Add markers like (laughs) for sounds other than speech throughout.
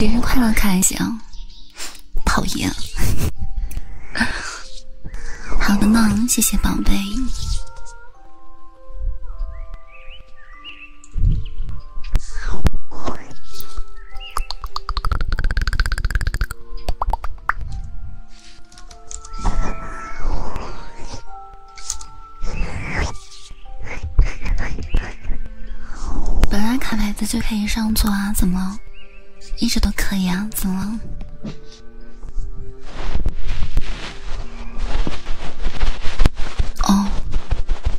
节日快乐，开心！讨厌。好的呢，谢谢宝贝。本来卡牌子就可以上座啊，怎么？一直都可以啊，怎么？哦，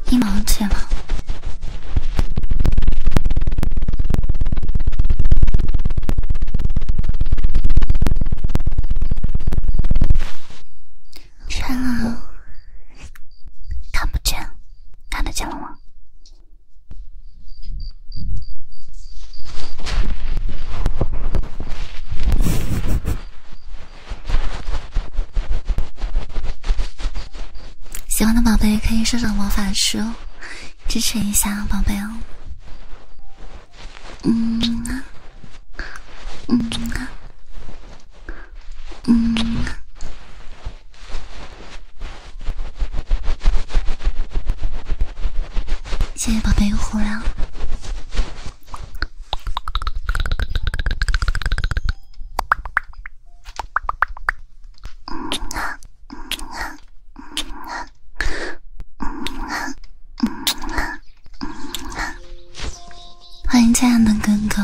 一毛钱吗？穿啊！看不见，看得见了吗？喜欢的宝贝可以收收魔法书，支持一下宝贝哦。嗯，嗯，嗯。谢谢宝贝虎粮。嗯嗯好，嗯嗯嗯欢迎这样的哥哥。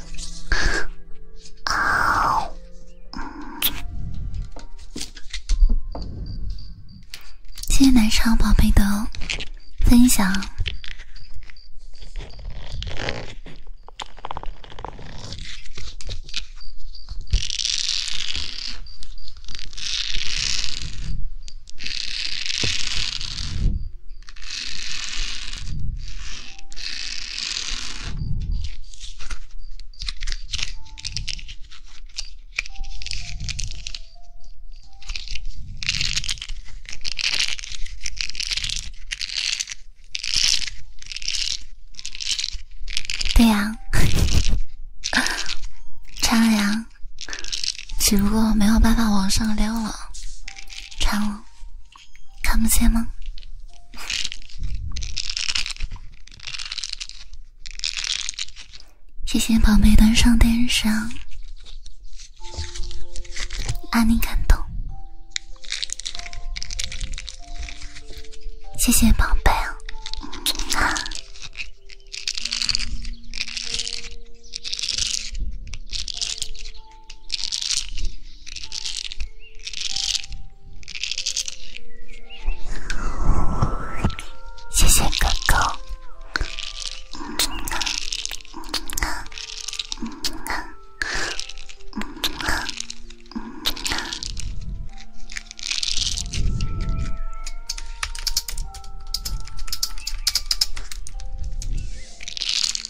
谢谢奶茶宝贝的分享。对呀，穿 (laughs) 了，只不过没有办法往上撩了，穿了。看不见吗？谢谢宝贝端上电视，让你感动。谢谢宝贝啊！谢谢狗狗。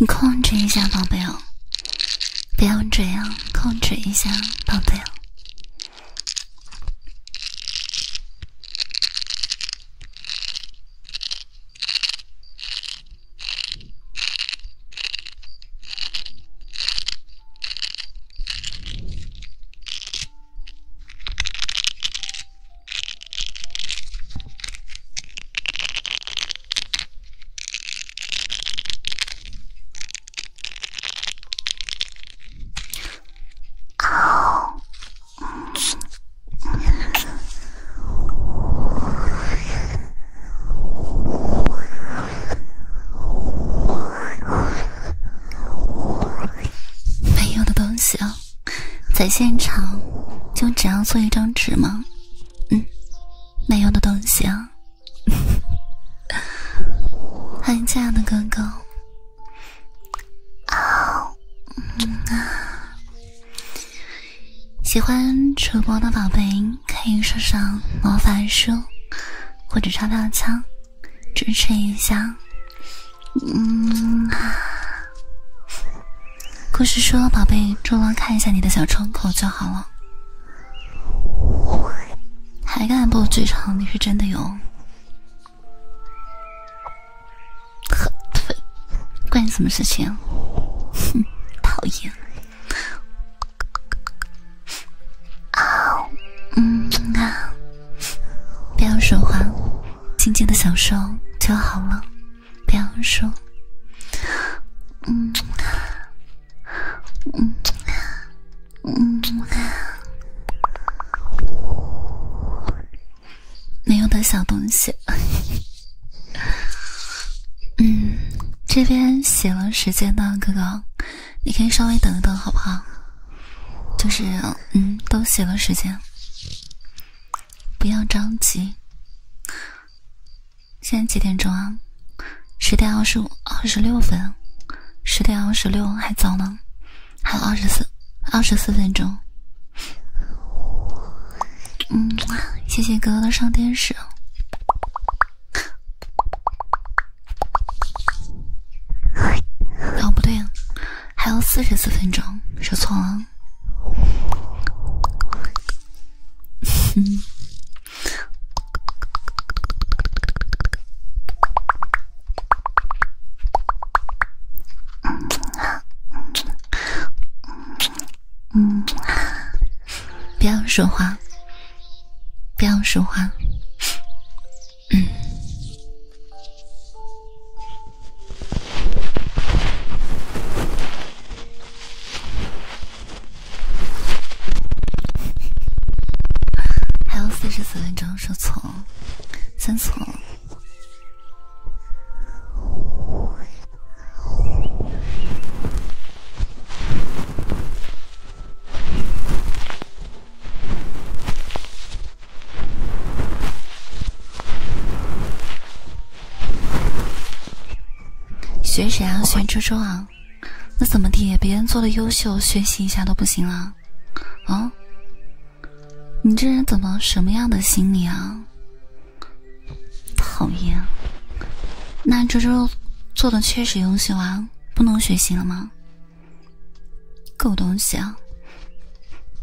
你控制一下，宝贝哦，不要这样，控制一下，宝贝。哦。没有的东西啊，在现场就只要做一张纸吗？嗯。没用的东西。欢迎这样的哥哥。啊，喜欢主播的宝贝可以刷刷魔法书或者超大枪，支持一下。嗯啊。故事说，宝贝，只要看一下你的小窗口就好了。还敢不嘴唱？你是真的有，可呸！关你什么事情？哼，(laughs) 讨厌！啊，嗯啊，不要说话，静静的享受就好了，不要说，嗯。嗯嗯，没有的小东西。嗯，这边写了时间的哥哥，你可以稍微等一等好不好？就是嗯，都写了时间，不要着急。现在几点钟啊？十点二十五、二十六分，十点二十六还早呢，还有二十四、二十四分钟。嗯，谢谢哥哥的上电视。哦，不对还有四十四分钟，说错了。(laughs) 不要说话，不要说话，嗯。还有四十四分钟，说错了，算错了。选谁啊？选猪猪啊？那怎么地？别人做的优秀，学习一下都不行了？啊，你这人怎么什么样的心理啊？讨厌！那周周做的确实优秀啊，不能学习了吗？狗东西啊！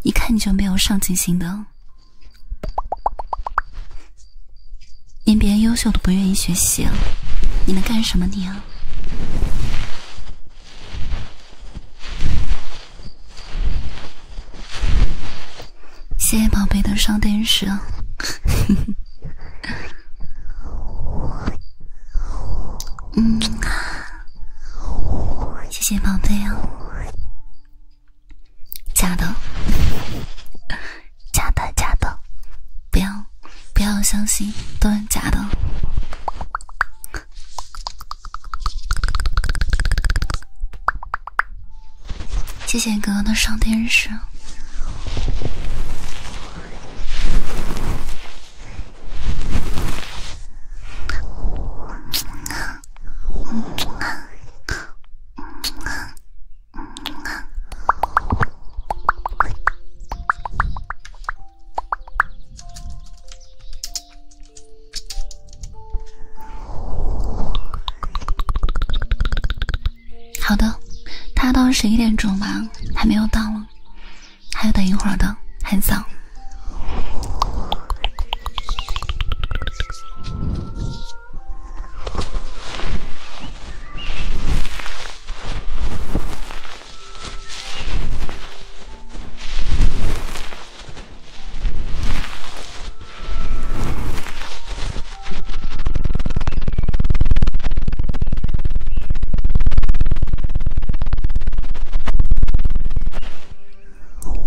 一看你就没有上进心的。连别人优秀都不愿意学习，你能干什么你啊？谢谢宝贝的双电啊，(laughs) 嗯谢谢宝贝啊，假的。假的，假的，不要，不要相信，都是假的。谢谢哥哥的上电视。好的，他到十一点钟吧，还没有到，还要等一会儿的，很早。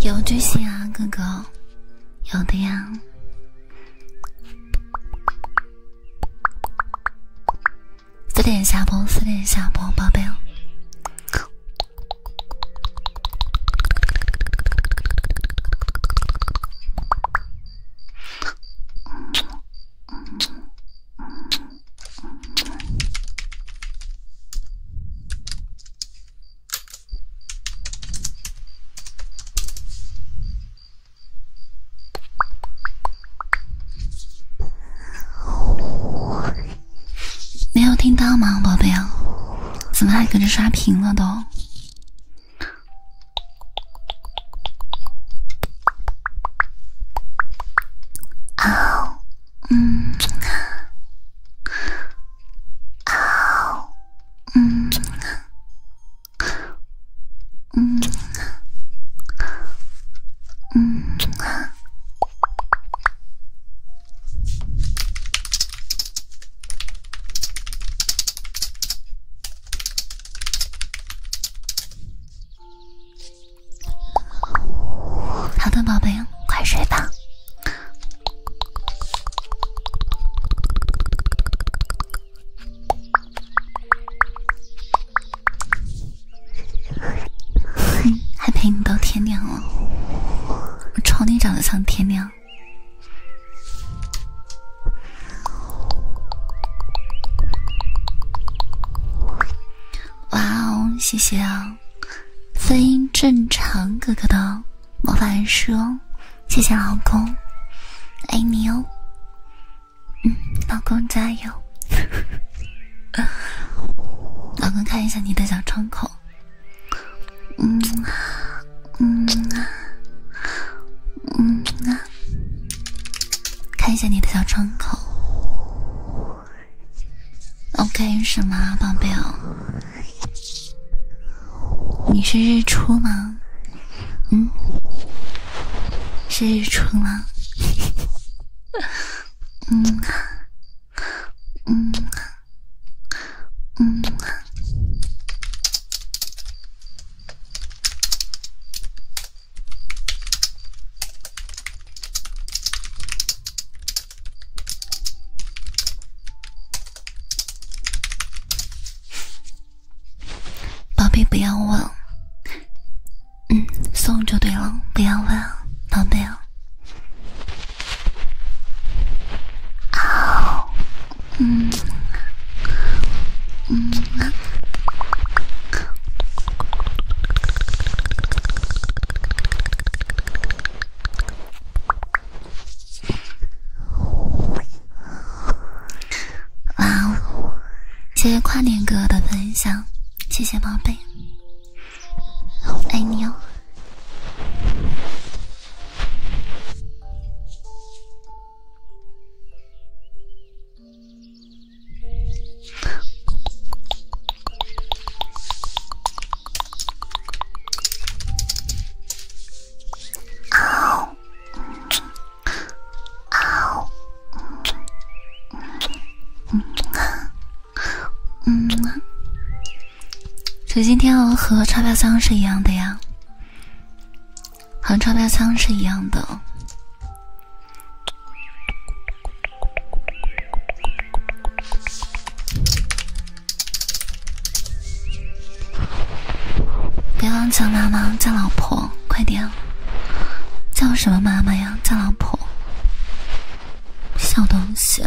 有最新啊，哥哥。有的呀，四点下播，四点下播，宝贝。没有听到吗，宝贝？怎么还搁这刷屏了都？啊，嗯啊，啊，嗯。嗯嗯，好的，宝贝，快睡吧。(laughs) 还陪你到天亮，了，我瞅你长得像天亮！哇哦，谢谢啊，非正常哥哥的魔法书。谢谢老公，爱你哦。嗯，老公加油。(laughs) 老公看一下你的小窗口。嗯啊，嗯啊，嗯啊，看一下你的小窗口。OK 是吗，宝贝哦？你是日出吗？嗯，是日出吗？嗯，嗯，嗯。宝贝，不要问，嗯，送就对了，不要问，宝贝啊。啊，嗯，嗯。哇哦！谢谢跨年哥的分享，谢谢宝贝，爱你哦。水晶天鹅和钞票箱是一样的呀，和钞票箱是一样的。(laughs) 别忘叫妈妈，叫老婆，快点！叫什么妈妈呀？叫老婆，小东西。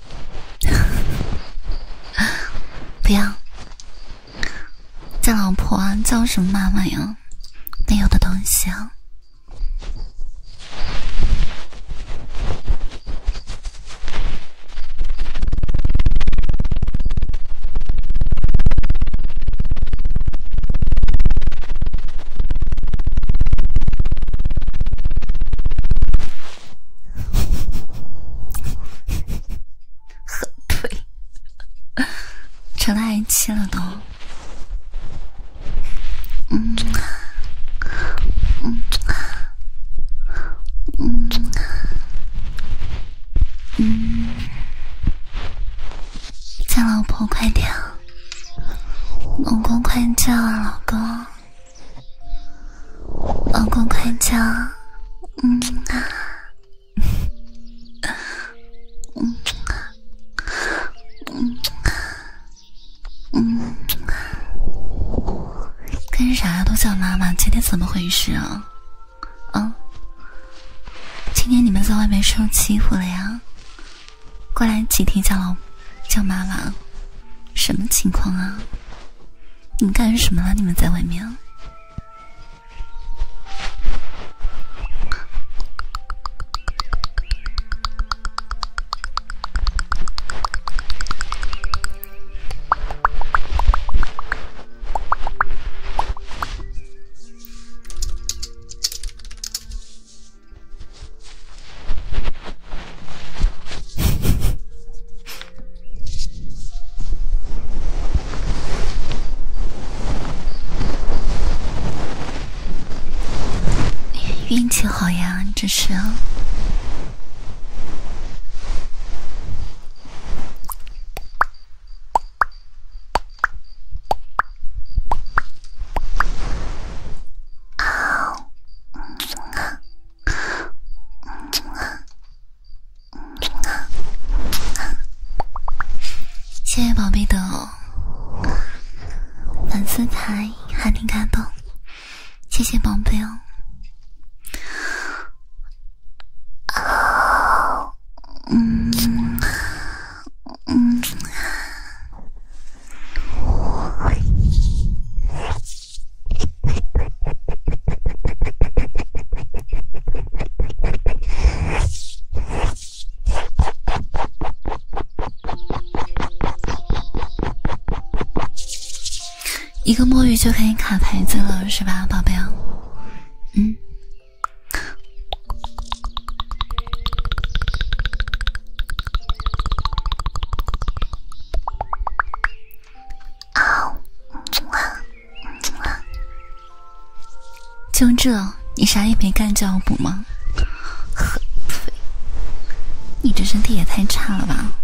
(laughs) 不要，叫老婆，叫什么妈妈呀？没有的东西啊。后退，成 (laughs) 了爱妻了都。嗯，嗯，嗯，嗯，叫老婆快点，老公快叫老公。老公快叫，嗯啊，嗯啊，嗯啊，嗯啊，干啊，啥呀都叫妈妈？今天怎么回事啊？啊，今天你们在外面受欺负了呀？过来几天叫老叫妈妈，什么情况啊？你干什么了？你们在外面。运气好呀，这是！啊。谢谢宝贝的粉丝牌，还挺感动，谢谢宝贝哦。嗯嗯。一个墨鱼就可以卡牌子了，是吧，宝贝？嗯。啊！就这，你啥也没干就要补吗？喝呸！你这身体也太差了吧！(laughs)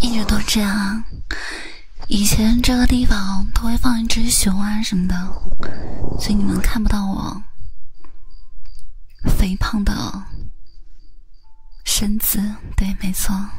一直都这样。以前这个地方都会放一只熊啊什么的，所以你们看不到我肥胖的身姿。对，没错。(laughs)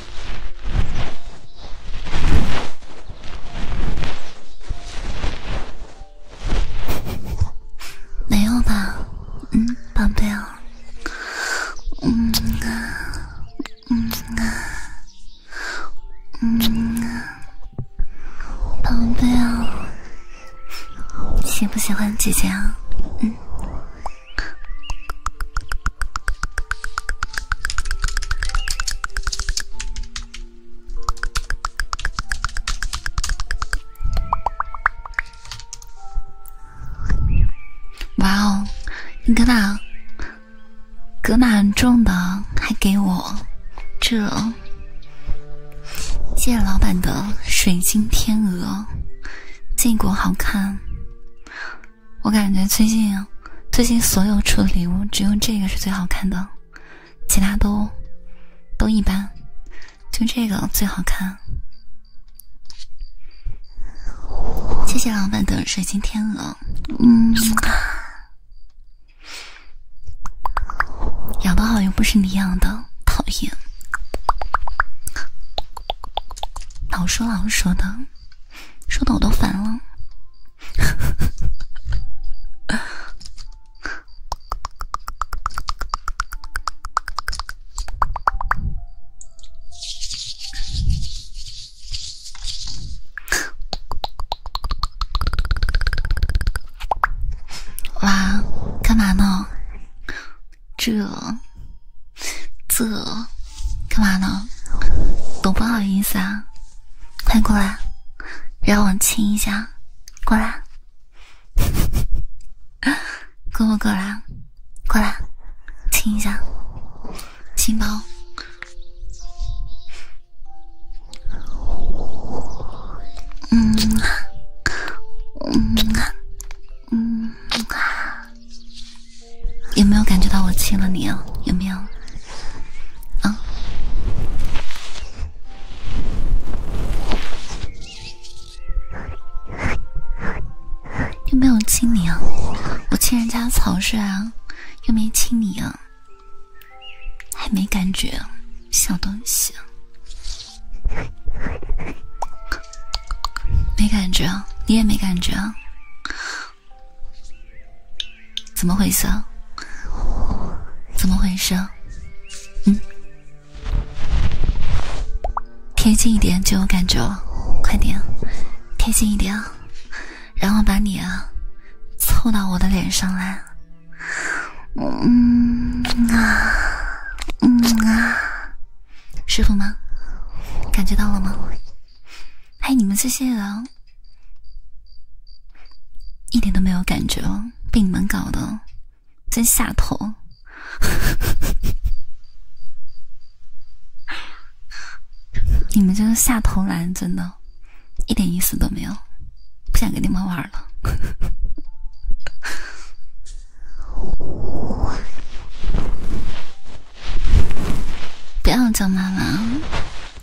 没有吧，嗯，宝贝哦，嗯啊，嗯啊，嗯啊，宝贝哦，喜不喜欢姐姐啊？嗯。哇哦！你搁哪搁哪种的，还给我这？谢谢老板的水晶天鹅，这个好看。我感觉最近，最近所有出的礼物，只有这个是最好看的，其他都都一般，就这个最好看。谢谢老板的水晶天鹅。嗯，养的好又不是你养的，讨厌。老说老说的。说的我都烦了，哇，干嘛呢？这这。干嘛呢？多不好意思啊！快过来，让我亲一下。过来，(laughs) 过不过来，过来，亲一下，亲包。嗯啊，嗯啊，嗯啊。有没有感觉到我亲了你啊？有没有？啊？又没有亲你啊？我亲人家草率啊，又没亲你啊？还没感觉，小东西，没感觉，啊？你也没感觉啊？怎么回事？怎么回事？嗯，贴近一点就有感觉了，快点，贴近一点，然后把你啊凑到我的脸上来，嗯啊，嗯啊，师傅吗？感觉到了吗？哎，你们这些人。一点都没有感觉哦，被你们搞的真下头，(laughs) 你们这个下头男，真的，一点意思都没有，不想跟你们玩了。(laughs) 不要叫妈妈。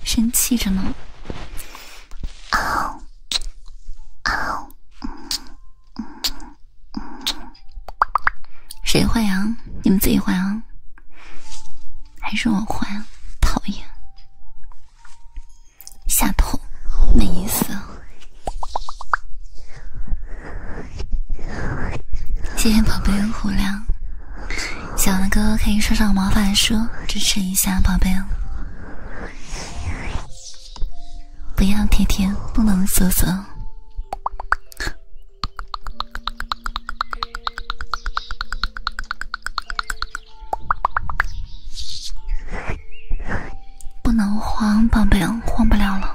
生气着呢，嗷，嗷，谁坏啊？你们自己坏啊？还是我坏？讨厌，下头，没意思。谢谢宝贝的虎粮。喜欢的可以收上毛法书，支持一下宝贝哦！不要甜甜，不能色色，不能慌，宝贝，慌不了了。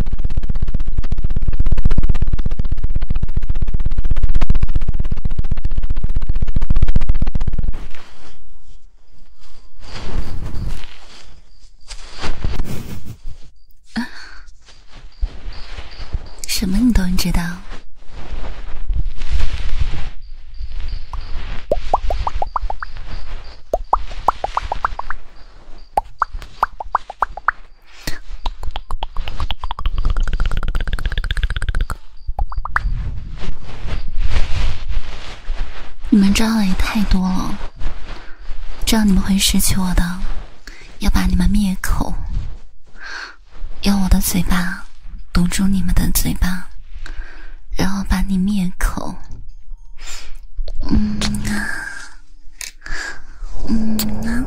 什么你都知道？你们招的也太多了，这样你们会失去我的，要把你们灭口，用我的嘴巴堵住你们的嘴巴，然后把你灭口。嗯嗯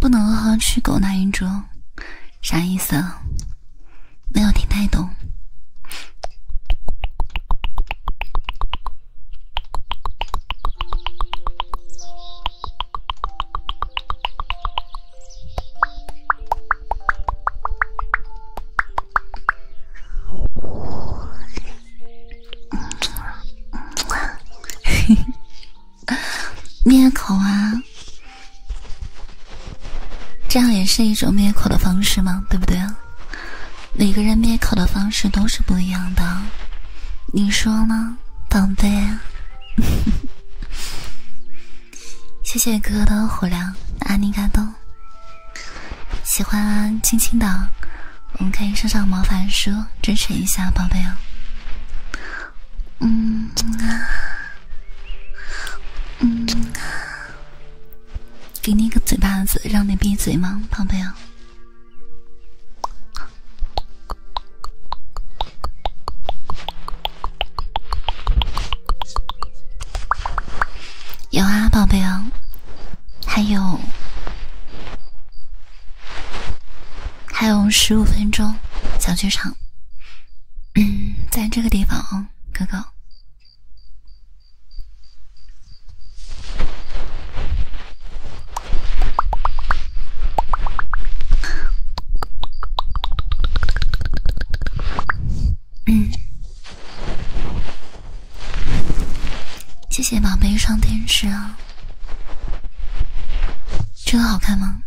不能和去狗那一桌，啥意思？没有听太懂。(laughs) 灭口啊，这样也是一种灭口的方式嘛，对不对？每个人灭口的方式都是不一样的，你说呢，宝贝？(laughs) 谢谢哥哥的虎粮，阿尼嘎多。喜欢啊，亲亲的，我们可以上上魔法书支持一下，宝贝哦。嗯啊，嗯啊，给你一个嘴巴子让你闭嘴吗，宝贝哦？有啊，宝贝哦。还有，还有十五分钟，小剧场。嗯，在这个地方哦，哥哥。嗯。谢谢宝贝，上天使啊！这个好看吗？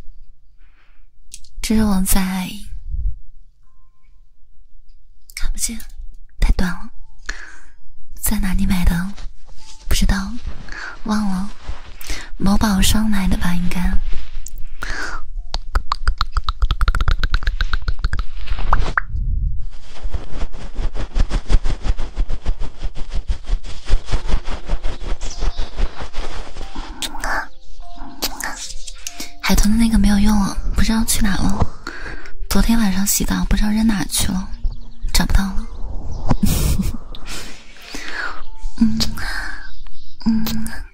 这是我在看不见，太短了。在哪里买的？不知道，忘了。某宝上买的吧，应该。海豚的那个没有用了，不知道去哪了。昨天晚上洗澡不知道扔哪去了，找不到了。(laughs) 嗯啊，嗯啊。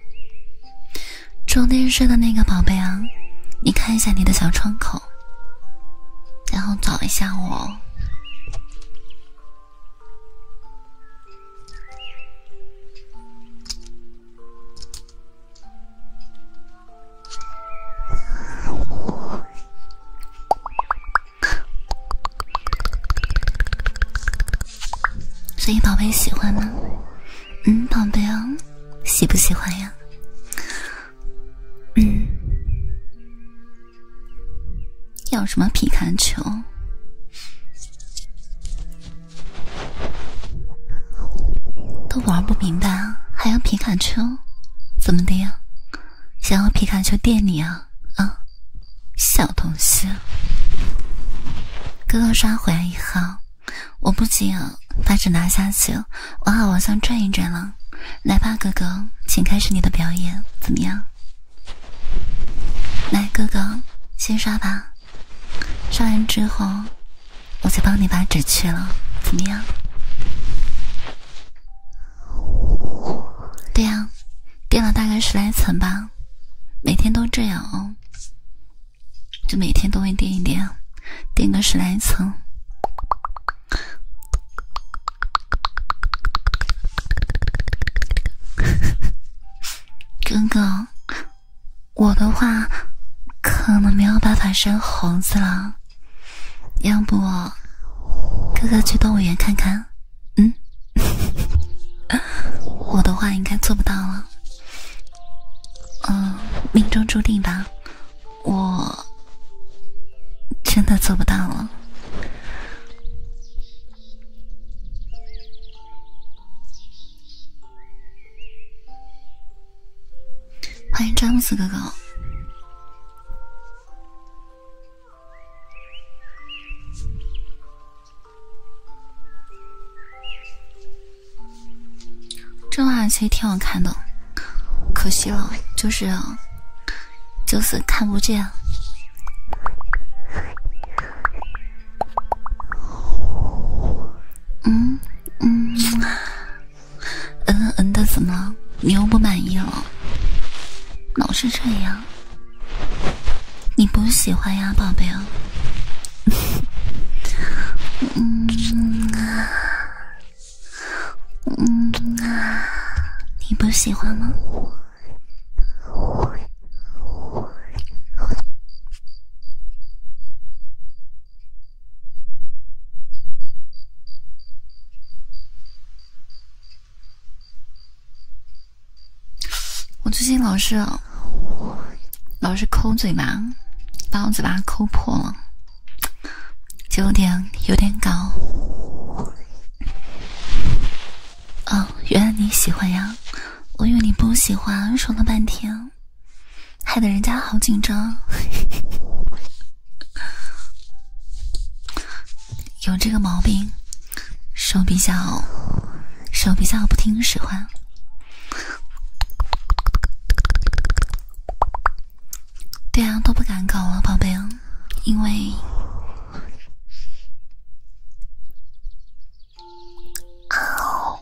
装电视的那个宝贝啊，你看一下你的小窗口。然后找一下我，所以宝贝喜欢吗？嗯，宝贝哦，喜不喜欢呀？要什么皮卡丘？都玩不明白，还要皮卡丘？怎么的？呀？想要皮卡丘电你啊？啊，小东西，哥哥刷回来一号。我不仅把纸拿下去，我还往上转一转了。来吧，哥哥，请开始你的表演，怎么样？来，哥哥先刷吧。刷完之后，我再帮你把纸去了，怎么样？对呀，垫了大概十来层吧。每天都这样哦，就每天都会垫一点，垫个十来层。哥 (laughs) 哥，我的话可能没有办法生猴子了，要不哥哥去动物园看看？嗯，(laughs) 我的话应该做不到了，嗯，命中注定吧。我真的做不到了。欢迎詹姆斯哥哥。这袜其实挺好看的，可惜了，就是，就是看不见。嗯嗯嗯的怎么？你又不满意了？老是这样，你不喜欢呀，宝贝啊？嗯啊。嗯啊，你不喜欢吗？我最近老是老是抠嘴巴，把我嘴巴抠破了。九点有点搞，哦，原来你喜欢呀！我以为你不喜欢，说了半天，害得人家好紧张。(laughs) 有这个毛病，手比较手比较不听使唤。对啊，都不敢搞了，宝贝，因为啊，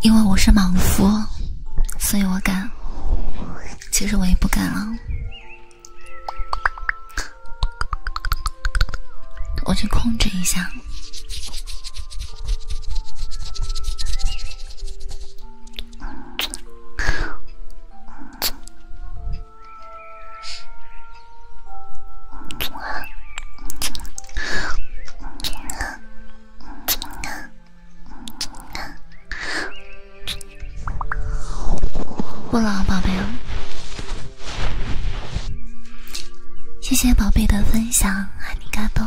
因为我是莽夫，所以我敢。其实我也不敢啊，我去控制一下。不冷，宝贝谢谢宝贝的分享，爱你嘎多。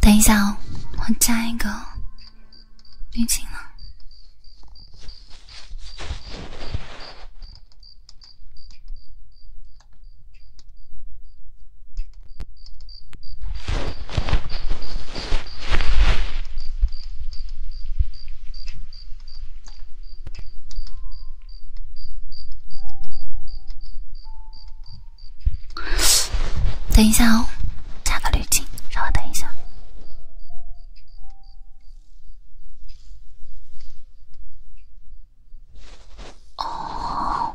等一下哦，我加一个滤镜了。等一下哦，加个滤镜，稍微等一下。哦。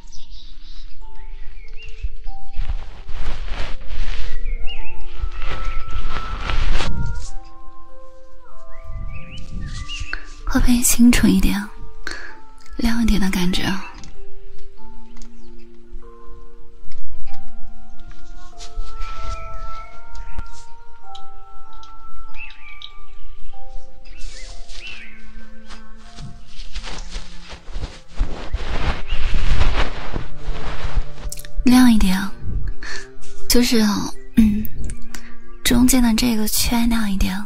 会不会清楚一点，亮一点的感觉。亮一点，就是嗯，中间的这个圈亮一点，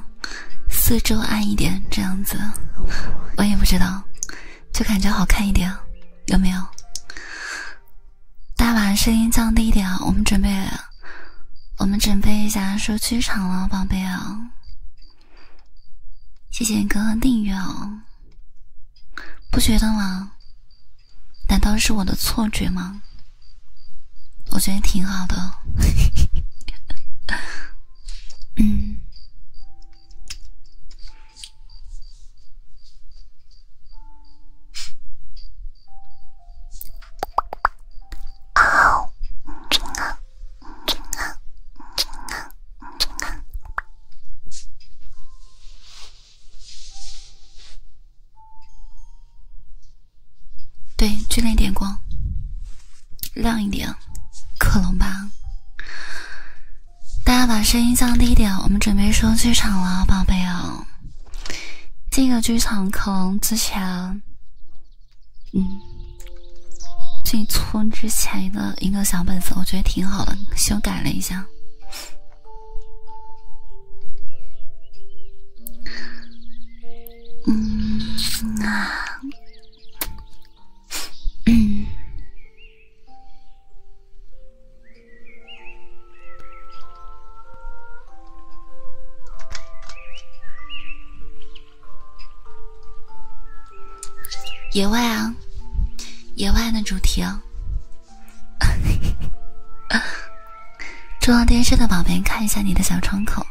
四周暗一点，这样子。我也不知道，就感觉好看一点，有没有？大把声音降低一点啊，我们准备，我们准备一下说剧场了，宝贝啊。谢谢哥哥订阅哦，不觉得吗？难道是我的错觉吗？我觉得挺好的，(laughs) 嗯。啊！啊。对，就那点光，亮一点，可能吧。大家把声音降低一点，我们准备说剧场了，宝贝啊。这个剧场可能之前。嗯，进村之前的一个小本子，我觉得挺好的，修改了一下。嗯啊，嗯。(clears throat) 野外啊，野外的主题啊。中央电视的宝贝，看一下你的小窗口。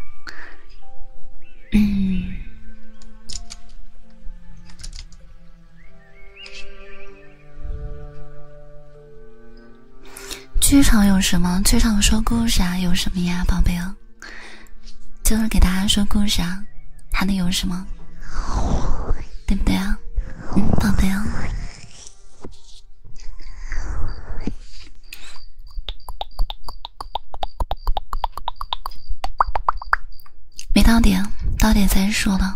嗯。剧场有什么？剧场说故事啊，有什么呀，宝贝哦？就是给大家说故事啊，还能有什么？对不对啊，嗯，宝贝啊？没到点，到点再说呢。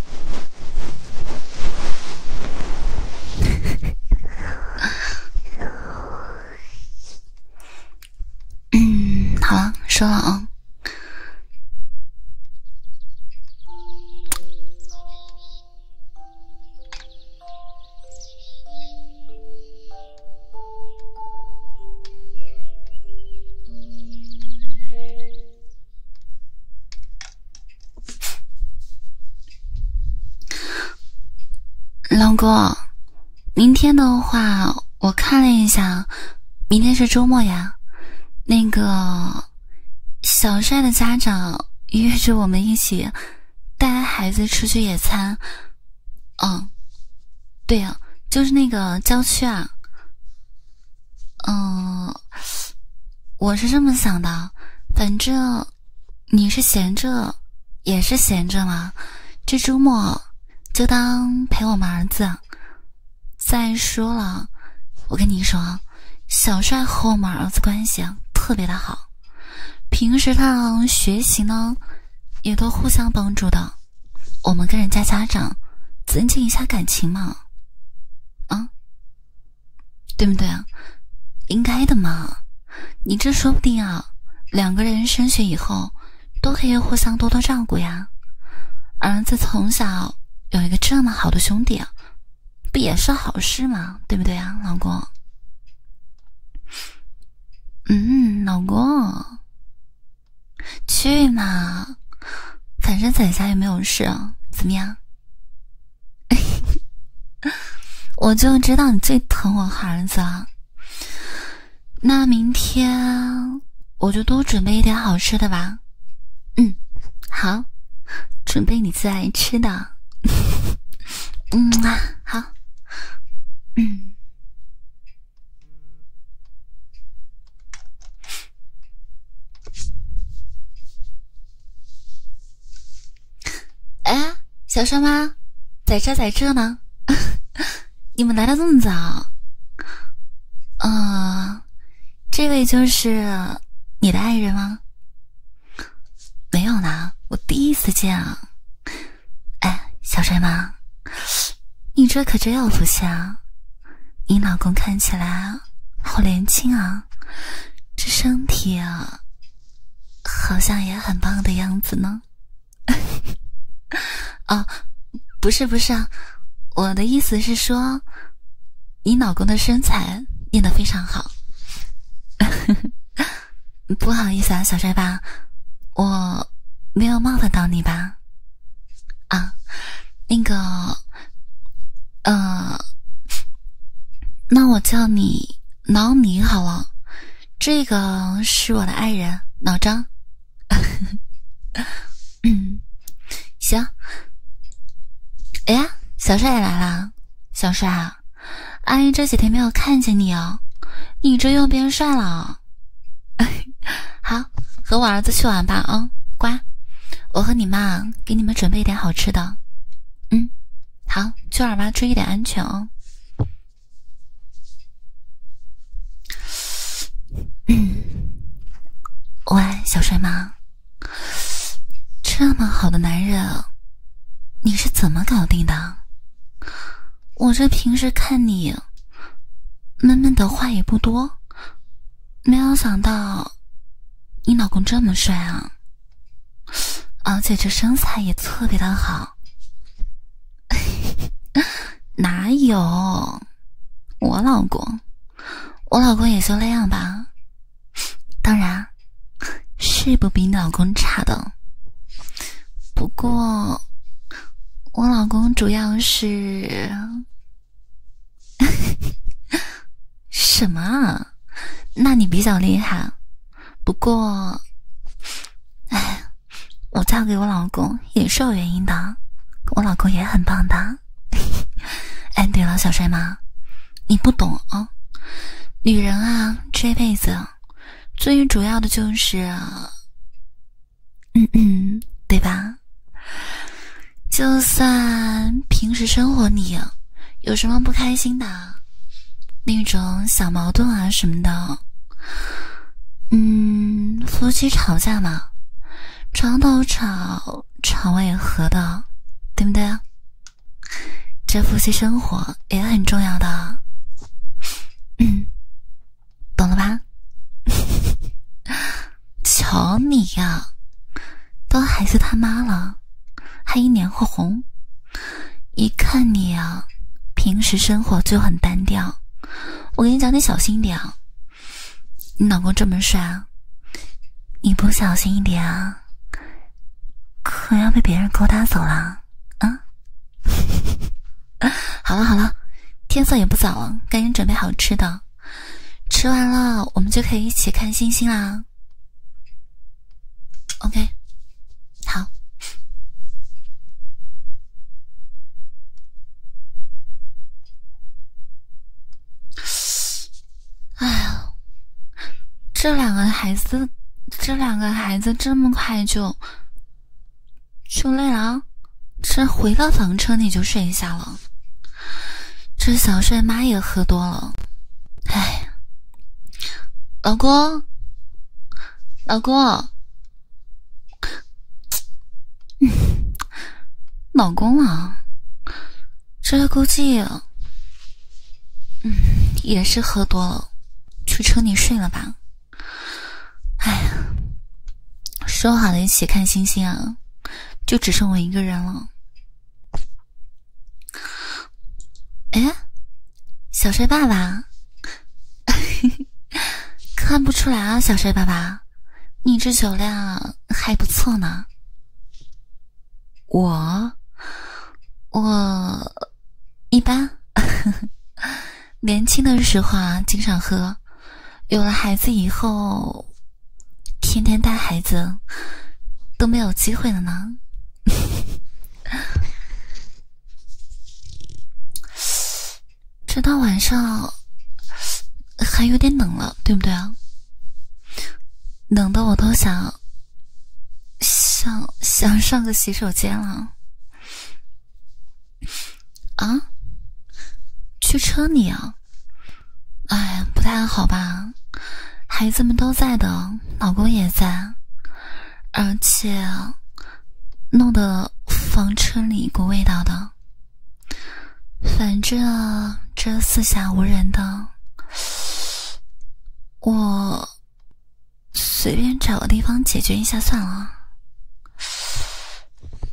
嗯，好了，收了啊。老公，明天的话，我看了一下，明天是周末呀。那个小帅的家长约着我们一起带孩子出去野餐。嗯，对呀，就是那个郊区啊。嗯，我是这么想的，反正你是闲着也是闲着嘛，这周末就当陪我们儿子。再说了，我跟你说，小帅和我们儿子关系特别的好，平时他学习呢，也都互相帮助的。我们跟人家家长增进一下感情嘛，啊，对不对啊？应该的嘛。你这说不定啊，两个人升学以后都可以互相多多照顾呀。儿子从小有一个这么好的兄弟，不也是好事吗？对不对啊，老公？嗯，老公。去嘛，反正在家也没有事，啊，怎么样？(laughs) 我就知道你最疼我孩子了。那明天我就多准备一点好吃的吧。嗯，好，准备你最爱吃的。(laughs) 嗯啊，好。嗯。(laughs) 哎，小帅妈，在这在这呢，(laughs) 你们来的这么早？嗯，这位就是你的爱人吗？没有呢，我第一次见啊。哎，小帅妈。你这可真有福气啊！你老公看起来好年轻啊，这身体啊，好像也很棒的样子呢。(laughs) 哦，不是不是，我的意思是说，你老公的身材练得非常好。(laughs) 不好意思啊，小帅爸，我没有冒犯到你吧？啊，那个，呃，那我叫你老李好了。这个是我的爱人老张。嗯，行。哎呀，小帅也来了，小帅啊，阿姨这几天没有看见你哦，你这又变帅了。(laughs) 好。和我儿子去玩吧，啊，乖，我和你妈给你们准备点好吃的，嗯，好，去玩吧，注意点安全哦。嗯，喂，小帅妈，这么好的男人，你是怎么搞定的？我这平时看你闷闷的话也不多。没有想到，你老公这么帅啊！而且这身材也特别的好。(laughs) 哪有我老公？我老公也就那样吧。当然，是不比你老公差的。不过，我老公主要是……什么？那你比较厉害。不过，哎，我嫁给我老公也是有原因的，我老公也很棒的。哎，对了，小帅妈，你不懂啊，女人啊，这辈子最主要的就是。嗯嗯，对吧？就算平时生活里有什么不开心的，那种小矛盾啊什么的，嗯，夫妻吵架嘛，床头吵，床尾和的，对不对？这夫妻生活也很重要的，嗯，懂了吧？瞧你呀，当孩子他妈了，还一脸火红。一看你呀，平时生活就很单调。我跟你讲，你小心点啊！你老公这么帅，你不小心一点啊，可要被别人勾搭走了啊！(laughs) 好了好了，天色也不早了，赶紧准备好吃的。吃完了，我们就可以一起看星星啦。OK，好。哎呀，这两个孩子，这两个孩子这么快就就累了。这回到房车你就睡下了，这小帅妈也喝多了，哎，老公，老公，嗯，老公啊，这估计，嗯，也是喝多了，去车里睡了吧，哎呀。说好了一起看星星啊，就只剩我一个人了。哎，小帅爸爸，(laughs) 看不出来啊，小帅爸爸，你这酒量还不错呢。我，我，一般，(laughs) 年轻的时候啊，经常喝。有了孩子以后，天天带孩子都没有机会了呢。这 (laughs) 到晚上还有点冷了，对不对啊？冷的我都想想想上个洗手间了。啊？去车里啊？哎呀，不太好吧？孩子们都在的，老公也在，而且弄得房车里一股味道的。反正这四下无人的，我随便找个地方解决一下算了。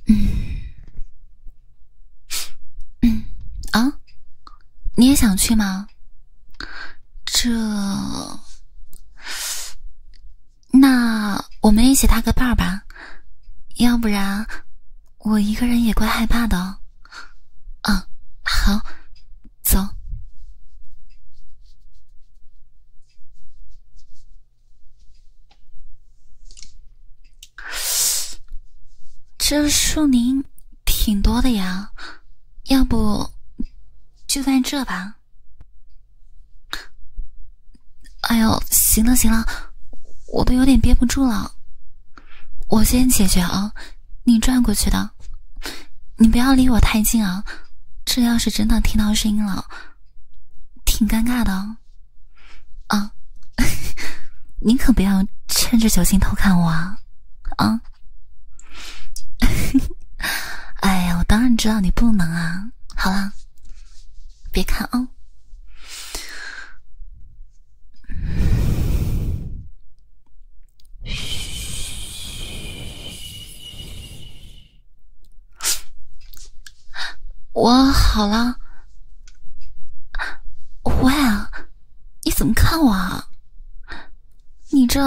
嗯。嗯啊，你也想去吗？这，那我们一起搭个伴儿吧，要不然我一个人也怪害怕的。嗯，好，走。这树林挺多的呀，要不就在这吧。哎呦，行了行了，我都有点憋不住了，我先解决啊。你转过去的，你不要离我太近啊，这要是真的听到声音了，挺尴尬的。啊，您可不要趁着酒劲偷看我啊！啊，(laughs) 哎呀，我当然知道你不能啊！好了，别看啊！我好了，喂，你怎么看我啊？你这，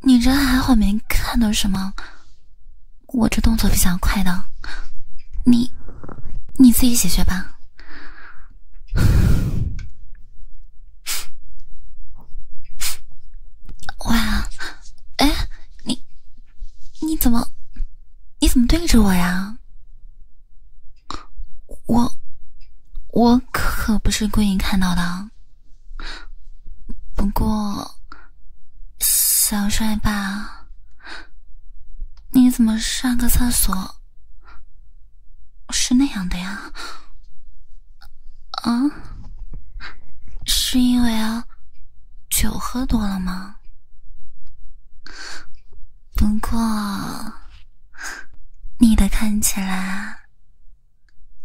你这还好没看到什么，我这动作比较快的，你你自己解决吧。喂，哎，你。你怎么，你怎么对着我呀？我，我可不是故意看到的。不过，小帅爸，你怎么上个厕所是那样的呀？啊，是因为啊，酒喝多了吗？不过，你的看起来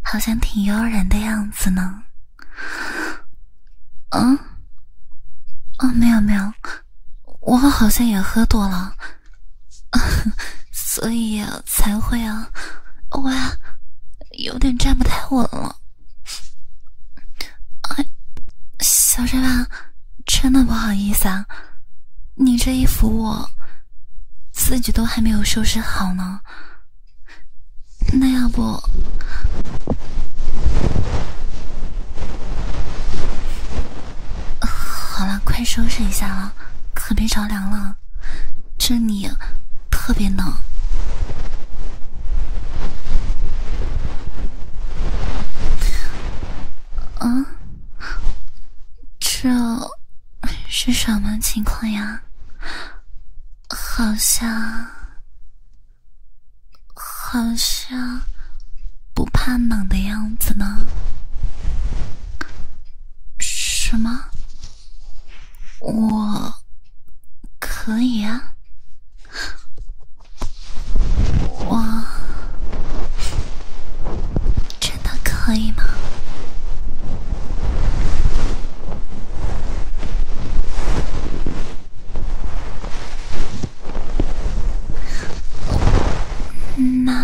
好像挺悠然的样子呢。嗯？哦，没有没有，我好像也喝多了，(laughs) 所以才会啊，哇，有点站不太稳了。哎，小帅爸，真的不好意思啊，你这一扶我，自己都还没有收拾好呢。那要不……好了，快收拾一下啊，可别着凉了，这里特别冷。啊，这是什么情况呀？好像好像不怕冷的样子呢。什么？我可以啊？我真的可以吗？难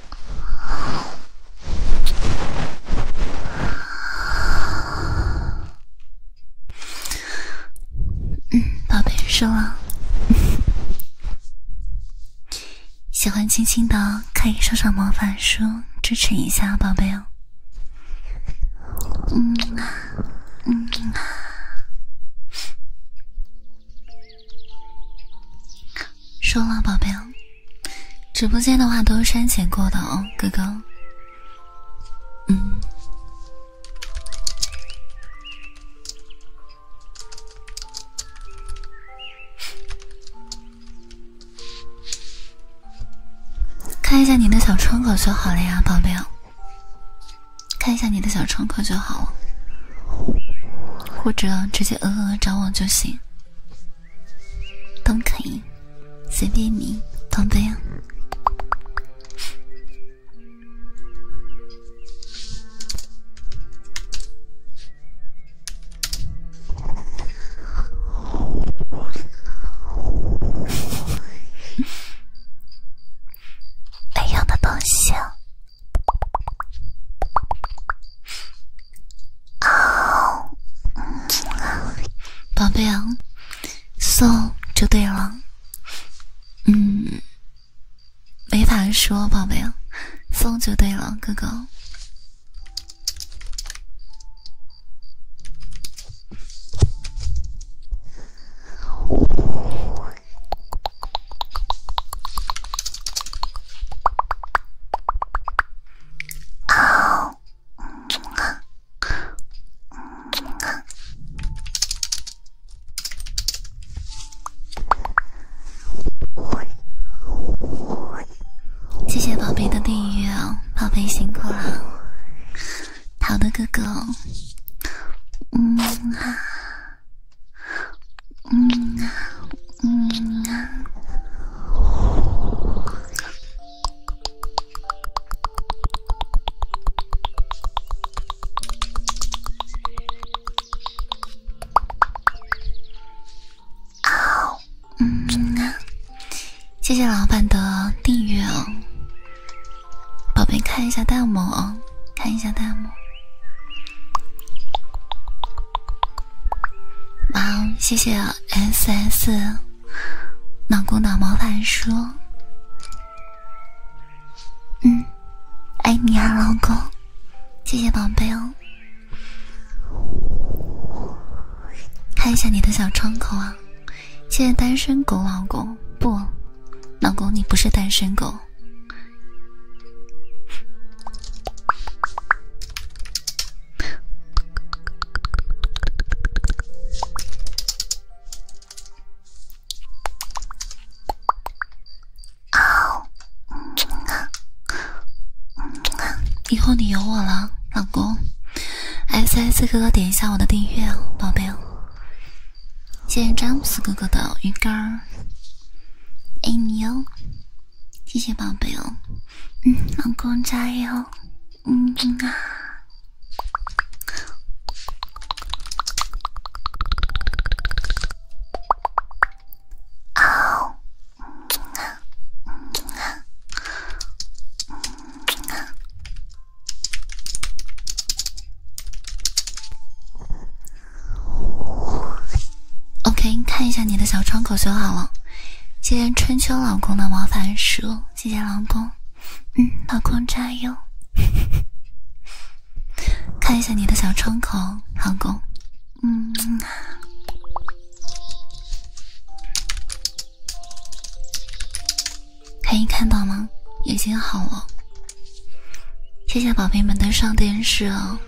嗯，宝贝，收了。喜欢亲亲的，可以收上魔法书支持一下，宝贝哦。嗯啊，嗯啊。说了，宝贝，直播间的话都是删减过的哦，哥哥。嗯，看一下你的小窗口就好了呀，宝贝。看一下你的小窗口就好了，或者直接呃呃找我就行。都可以，随便你，宝贝啊！(laughs) 没用的东西。宝贝啊，送就对了，嗯，没法说，宝贝啊，送就对了，哥哥。谢谢宝贝的订阅，宝贝辛苦了。好的，哥哥。嗯啊，嗯啊。嗯啊，啊，嗯谢谢老板的订阅哦，宝贝看一下弹幕哦，看一下弹幕。哦，谢谢 S S，老公脑毛法说，嗯，爱你啊，老公。谢谢宝贝哦。看一下你的小窗口啊。谢谢单身狗老公。不，老公你不是单身狗。啊，嗯啊，以后你有我了，老公。S S 哥哥点一下我的订阅，宝贝。谢谢詹姆斯哥哥的鱼竿，爱你哟。谢谢宝贝哦，嗯，老公加油，嗯啊，啊，啊，啊，啊。OK，看一下你的小窗口修好了。谢谢春秋老公的毛毯书，谢谢老公。嗯，老公加油。(laughs) 看一下你的小窗口，老公。嗯。可以看到吗？已经好了。谢谢宝贝们的上电视哦。